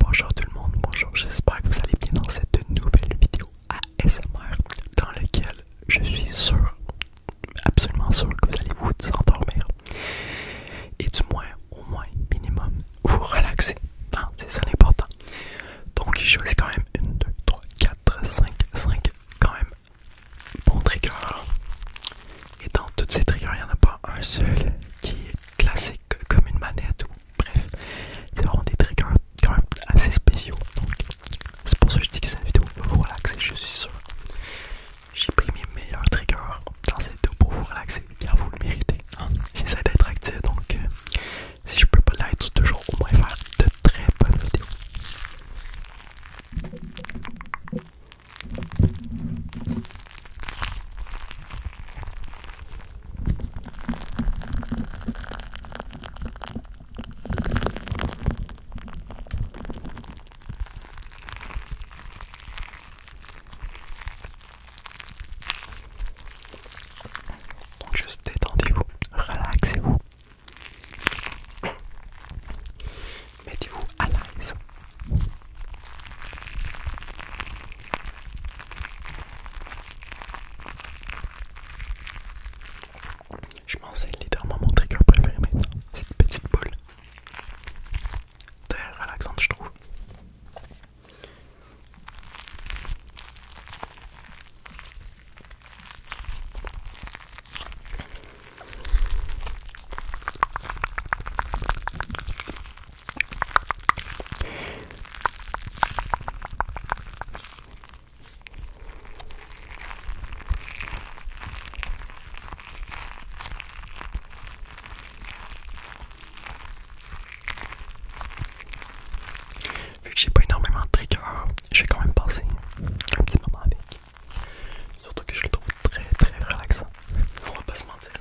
Bonjour tout le monde, bonjour, j'espère que vous allez bien dans cette nouvelle vidéo ASMR dans laquelle je suis sûr, absolument sûr que vous allez vous endormir et du moins, au moins minimum, vous relaxer, c'est ça l'important. Donc j'ai choisi quand même 1, 2, 3, 4, 5, 5 quand même bons triggers et dans toutes ces triggers, il n'y en a pas un seul qui est classique comme une manette ou Bref, c'est vraiment des triggers quand même assez spéciaux. Donc, c'est pour ça que je dis que cette vidéo va vous relaxer, je suis sûr. J'ai pris mes meilleurs triggers dans cette vidéo pour vous relaxer, bien vous le méritez. Hein. J'essaie d'être actif, donc euh, si je peux pas l'être toujours, au moins faire de très bonnes vidéos. Donc juste détendez-vous, relaxez-vous, mettez-vous à l'aise. Je pense que c'est littéralement mon trigger préféré mais cette petite boule. Très relaxante, je trouve. Vu que j'ai pas énormément de je vais quand même passer un petit moment avec. Surtout que je le trouve très très relaxant. On va pas se mentir.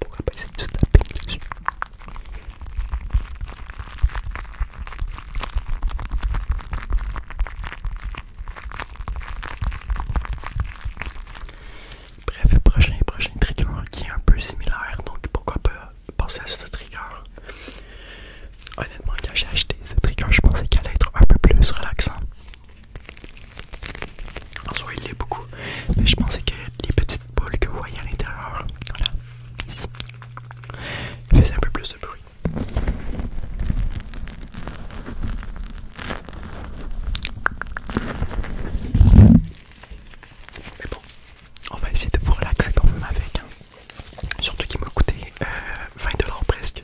pourquoi pas essayer de taper dessus Bref, prochain prochain trigger qui est un peu similaire, donc pourquoi pas passer à ce trigger. Honnêtement, quand j'ai acheté ce trigger, je pensais qu'elle allait être un peu plus relaxant. En soi, il l'est beaucoup, mais je pensais que les petites boules que vous voyez à l'intérieur, Fais un peu plus de bruit. Mais bon, on va essayer de vous relaxer quand même avec. Hein. Surtout qu'il m'a coûté 20$ euh, presque.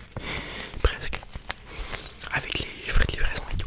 Presque. Avec les frais de livraison et tout.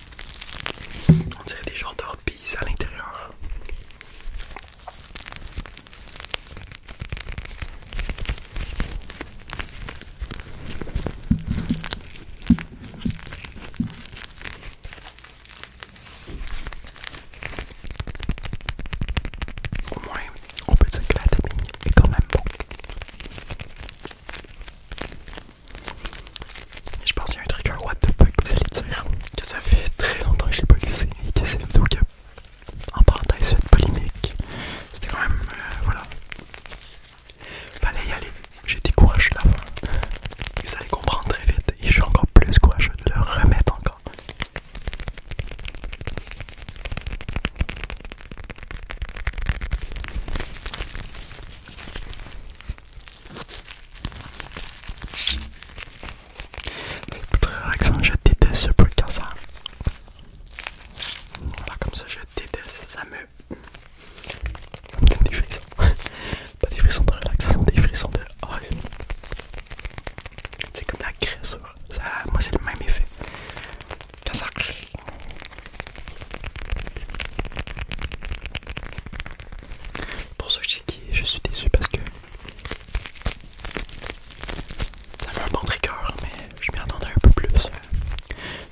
On dirait des gens d'orbies à l'intérieur. Au moins, on peut se mais il est quand même bon. Je pense qu'il y a un truc un what the fuck vous allez dire que ça fait très longtemps que je l'ai pas glissé et que c'est vidéo qui en parenthèse cette polémique c'était quand même euh, voilà fallait y aller j'ai été courageux fin, vous allez comprendre très vite et je suis encore plus courageux de le remettre encore Écoute, relaxant, hein, je déteste ce bruit comme ça. Voilà, comme ça, je déteste. Ça me. donne des frissons. Pas des frissons de relaxation, des frissons de. Oh, c'est comme la créature. Ça, moi, c'est le même effet. Pour ceux qui je suis déçu parce que ça avait un bon trigger, mais je m'y attendais un peu plus. Euh,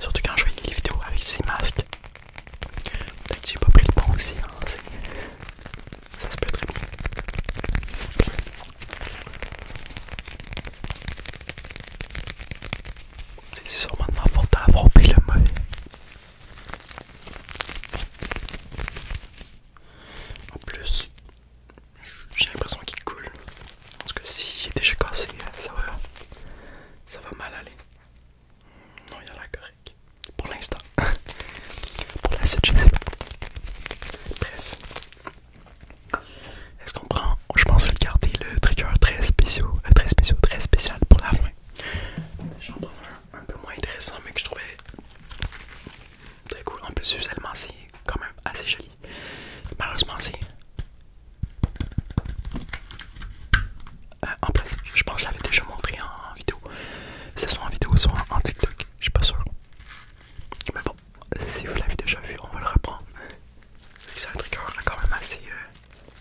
surtout quand je voyais les vidéos avec ces masques. Peut-être que j'ai pas pris le bon aussi, hein, ça se peut très bien. C'est sûrement de ma à avoir pris le mauvais. En plus, j'ai l'impression qu'il coule. Parce que si j'ai est déjà cassé, ça va, ça va mal aller. Non, il y a la correct. Pour l'instant. Pour la suite, je sais pas. Bref. Est-ce qu'on prend Je pense que je garder le trigger très spécial, euh, très spécial, très spécial pour la fin un peu moins intéressant mais que je trouvais très cool. En plus visuellement c'est quand même assez joli. Malheureusement c'est... Euh, en plus, je pense que je l'avais déjà montré en vidéo. C'est soit en vidéo soit en, TikTok, je suis pas sûr. Mais bon, si vous l'avez déjà vu, on va le reprendre. C'est un trigger quand même assez... Euh,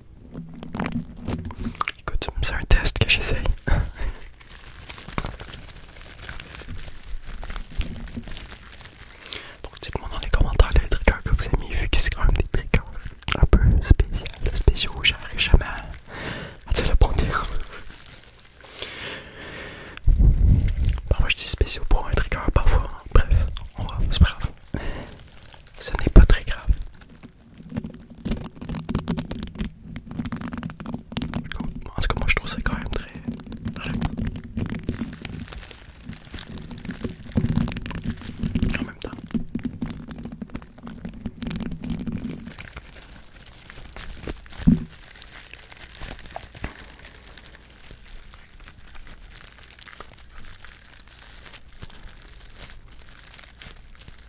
Écoute, c'est un test que j'essaye. Donc dites-moi dans les commentaires les triggers que vous aimez vu que c'est quand même des triggers un peu spécial, spéciaux, j'arrive jamais à, te le bon terme. Parfois je dis spéciaux pour un trigger, parfois, bref, on va, c'est pas grave. Ce n'est pas très grave. Parce que moi je trouve c'est quand même très...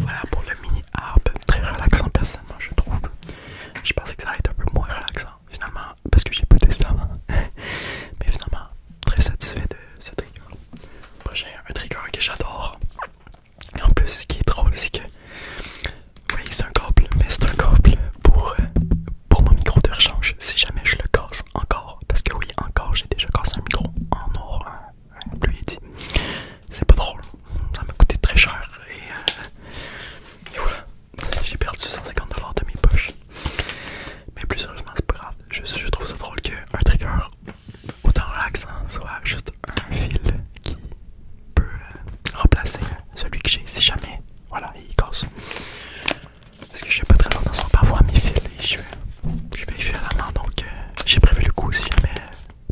Voilà pour le mini harp, très relaxant personnellement je trouve. Je pensais que ça allait être un peu moins relaxant finalement parce que j'ai pas testé avant. Mais finalement très satisfait de ce trigger. J'ai un trigger que j'adore et en plus, ce qui est drôle, c'est que oui, c'est un câble, mais c'est un câble pour, euh, pour mon micro de rechange. Si jamais je le casse encore, parce que oui, encore, j'ai déjà cassé un micro en or, hein, lui dit. C'est pas drôle, ça m'a coûté très cher et, euh, voilà, j'ai perdu 150$ de mes poches. Mais plus sérieusement, c'est pas grave, je, je trouve ça drôle qu'un trigger autant relaxant, hein, soit juste un fil qui peut euh, remplacer celui que j'ai si jamais voilà il casse. Parce que je suis pas très longtemps sans parfois mes fils et je, vais faire la main. donc euh, j'ai prévu le coup si jamais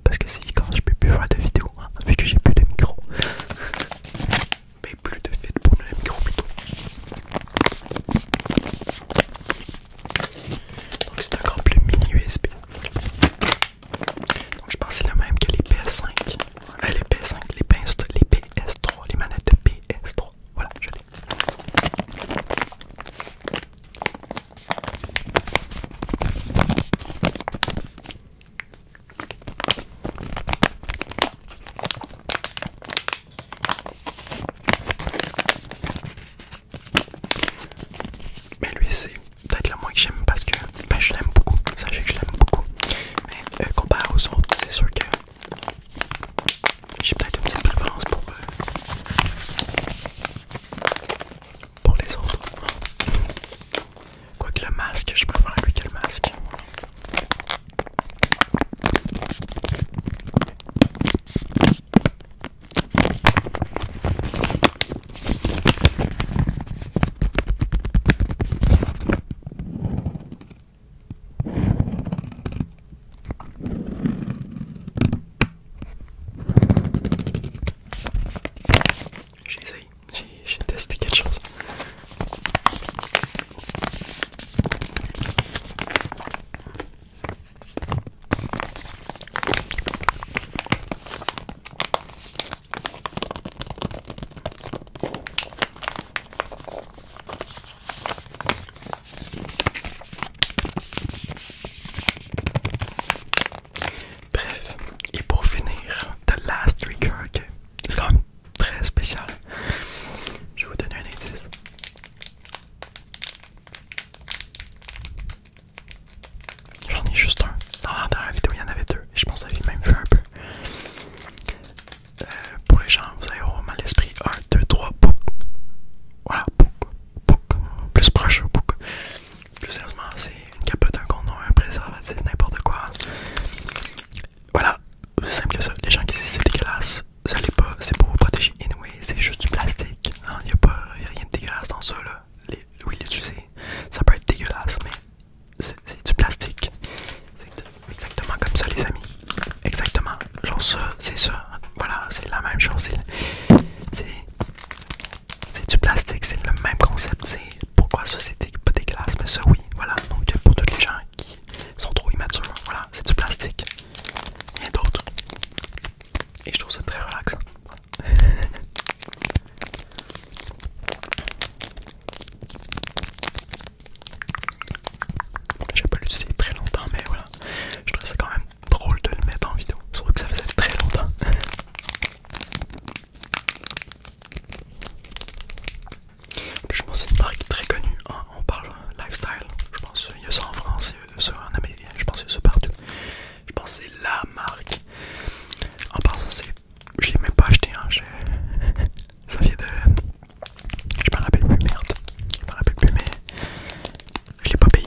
parce que si quand je peux plus voir de vidéo hein, vu que j'ai plus de micro mais plus de fil pour le micro plutôt donc c'est encore plus mini USB. Donc je pense que c'est le même que les PS5. Euh, les PS5, les PS, les PS3, les manettes PS3. Voilà, je l'ai. Mais lui c'est peut-être la moins que j'aime parce que ben, je l'aime beaucoup, sachez que je l'aime beaucoup. Mais euh, comparé aux autres, c'est sûr que j'ai peut-être une petite préférence pour, euh, pour les autres. Quoique le masque, je préfère lui que le masque. J'ai essayé, j'ai testé quelque chose. Bref, et pour finir, The Last Trigger, c'est quand même très spécial. Je vais vous donner un indice. J'en ai juste un. Dans, la dernière vidéo, il y en avait deux. Et je pense que vous même vu un peu. Euh, pour les gens, vous avez au mal l'esprit. 1, 2, 3, bouc. Voilà, bouc, bouc. Plus proche, bouc. Plus sérieusement, c'est une capote, un condom, un préservatif, n'importe quoi. Voilà, c'est simple que ça. Les gens qui disent c'est dégueulasse, ça l'est pas. C'est pour vous protéger. Anyway, c'est juste du plastique. Il n'y a, a rien de dégueulasse dans ça là oui tu sais Ça peut être dégueulasse, mais c'est du plastique. C'est exactement comme ça, les amis. Exactement. Genre ça, c'est ça. Voilà, c'est la même chose. C'est du plastique, c'est le même concept. C'est pourquoi ça, c'est pas dégueulasse, mais ça, oui. Voilà, donc pour tous les gens qui sont trop immatures, voilà, c'est du plastique. Rien d'autres Et je trouve ça très relaxant. J'ai pas l'utilisé très longtemps, mais voilà. Je trouvais ça quand même drôle de le mettre en vidéo. Surtout que ça faisait très longtemps. je pense que c'est une marque très connue. On parle lifestyle. Je pense qu'il y a ça en France, il en Amérique. Je pense qu'il y a ça partout. Je pense que c'est la marque. En passant, c'est. Je l'ai même pas acheté, hein. Ça vient de. Je me rappelle plus, merde. Je me rappelle plus, mais. Je l'ai pas payé.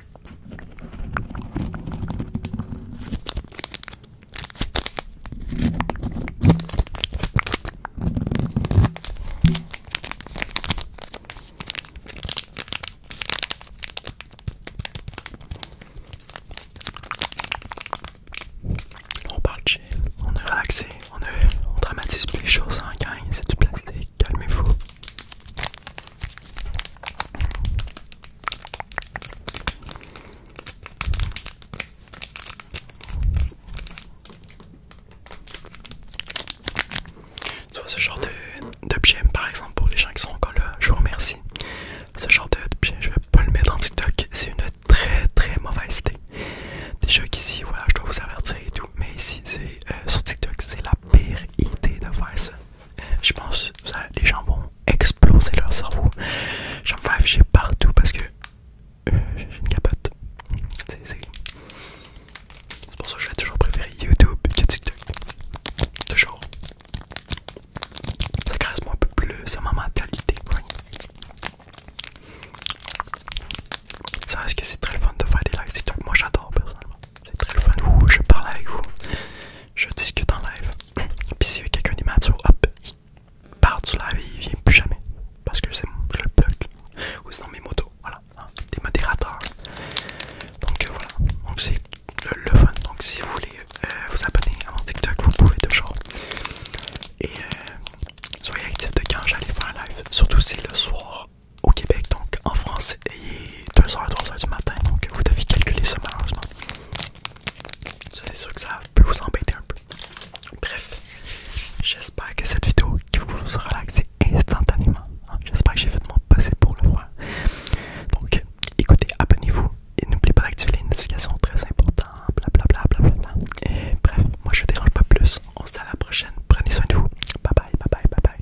On parle chill, on est relaxé, on, est, on dramatise plus les choses hein, c'est du plastique, calmez-vous. Tu vois ce genre d'objet par exemple pour les gens qui sont encore là, je vous remercie. Ce genre d'objet, je vais pas le mettre en TikTok, c'est une très très mauvaise idée. Déjà qu'ici, voilà, je dois vous avertir et tout, mais ici, c'est euh, sur TikTok, c'est la pire idée de faire ça je pense que les gens vont exploser leur cerveau. J'en fais afficher partout parce que euh, j'ai une capote. C'est pour ça que je l'ai toujours préféré YouTube que TikTok. Toujours. Ça moi un peu plus c'est ma mentalité. c'est vrai que c'est très fun de faire des likes TikTok. Moi j'adore personnellement. C'est très le fun, vous, je parle avec vous, je discute en live. Puis si y a quelqu'un d'immature, hop, il part du live et il vient plus jamais. Parce que je le bloque. Ou sinon mes motos, voilà, hein, des modérateurs. Donc euh, voilà, donc c'est le, fun. Donc si vous voulez euh, vous abonner à mon TikTok, vous pouvez toujours. Et euh, soyez actifs de quand j'allais faire un live. Surtout si le soir au Québec, donc en France, il est 2h, 3 du matin, donc vous devez calculer ça malheureusement. C'est sûr que ça peut vous embêter un peu. Bref, j'espère que cette vidéo vous relaxer instantanément. Hein. J'espère que j'ai fait de mon pour le voir. Donc écoutez, abonnez-vous et n'oubliez pas d'activer les notifications très important, Blablabla. Bla, bla, bla, Et bref, moi je ne dérange pas plus. On se dit à la prochaine. Prenez soin de vous. Bye bye, bye bye, bye bye.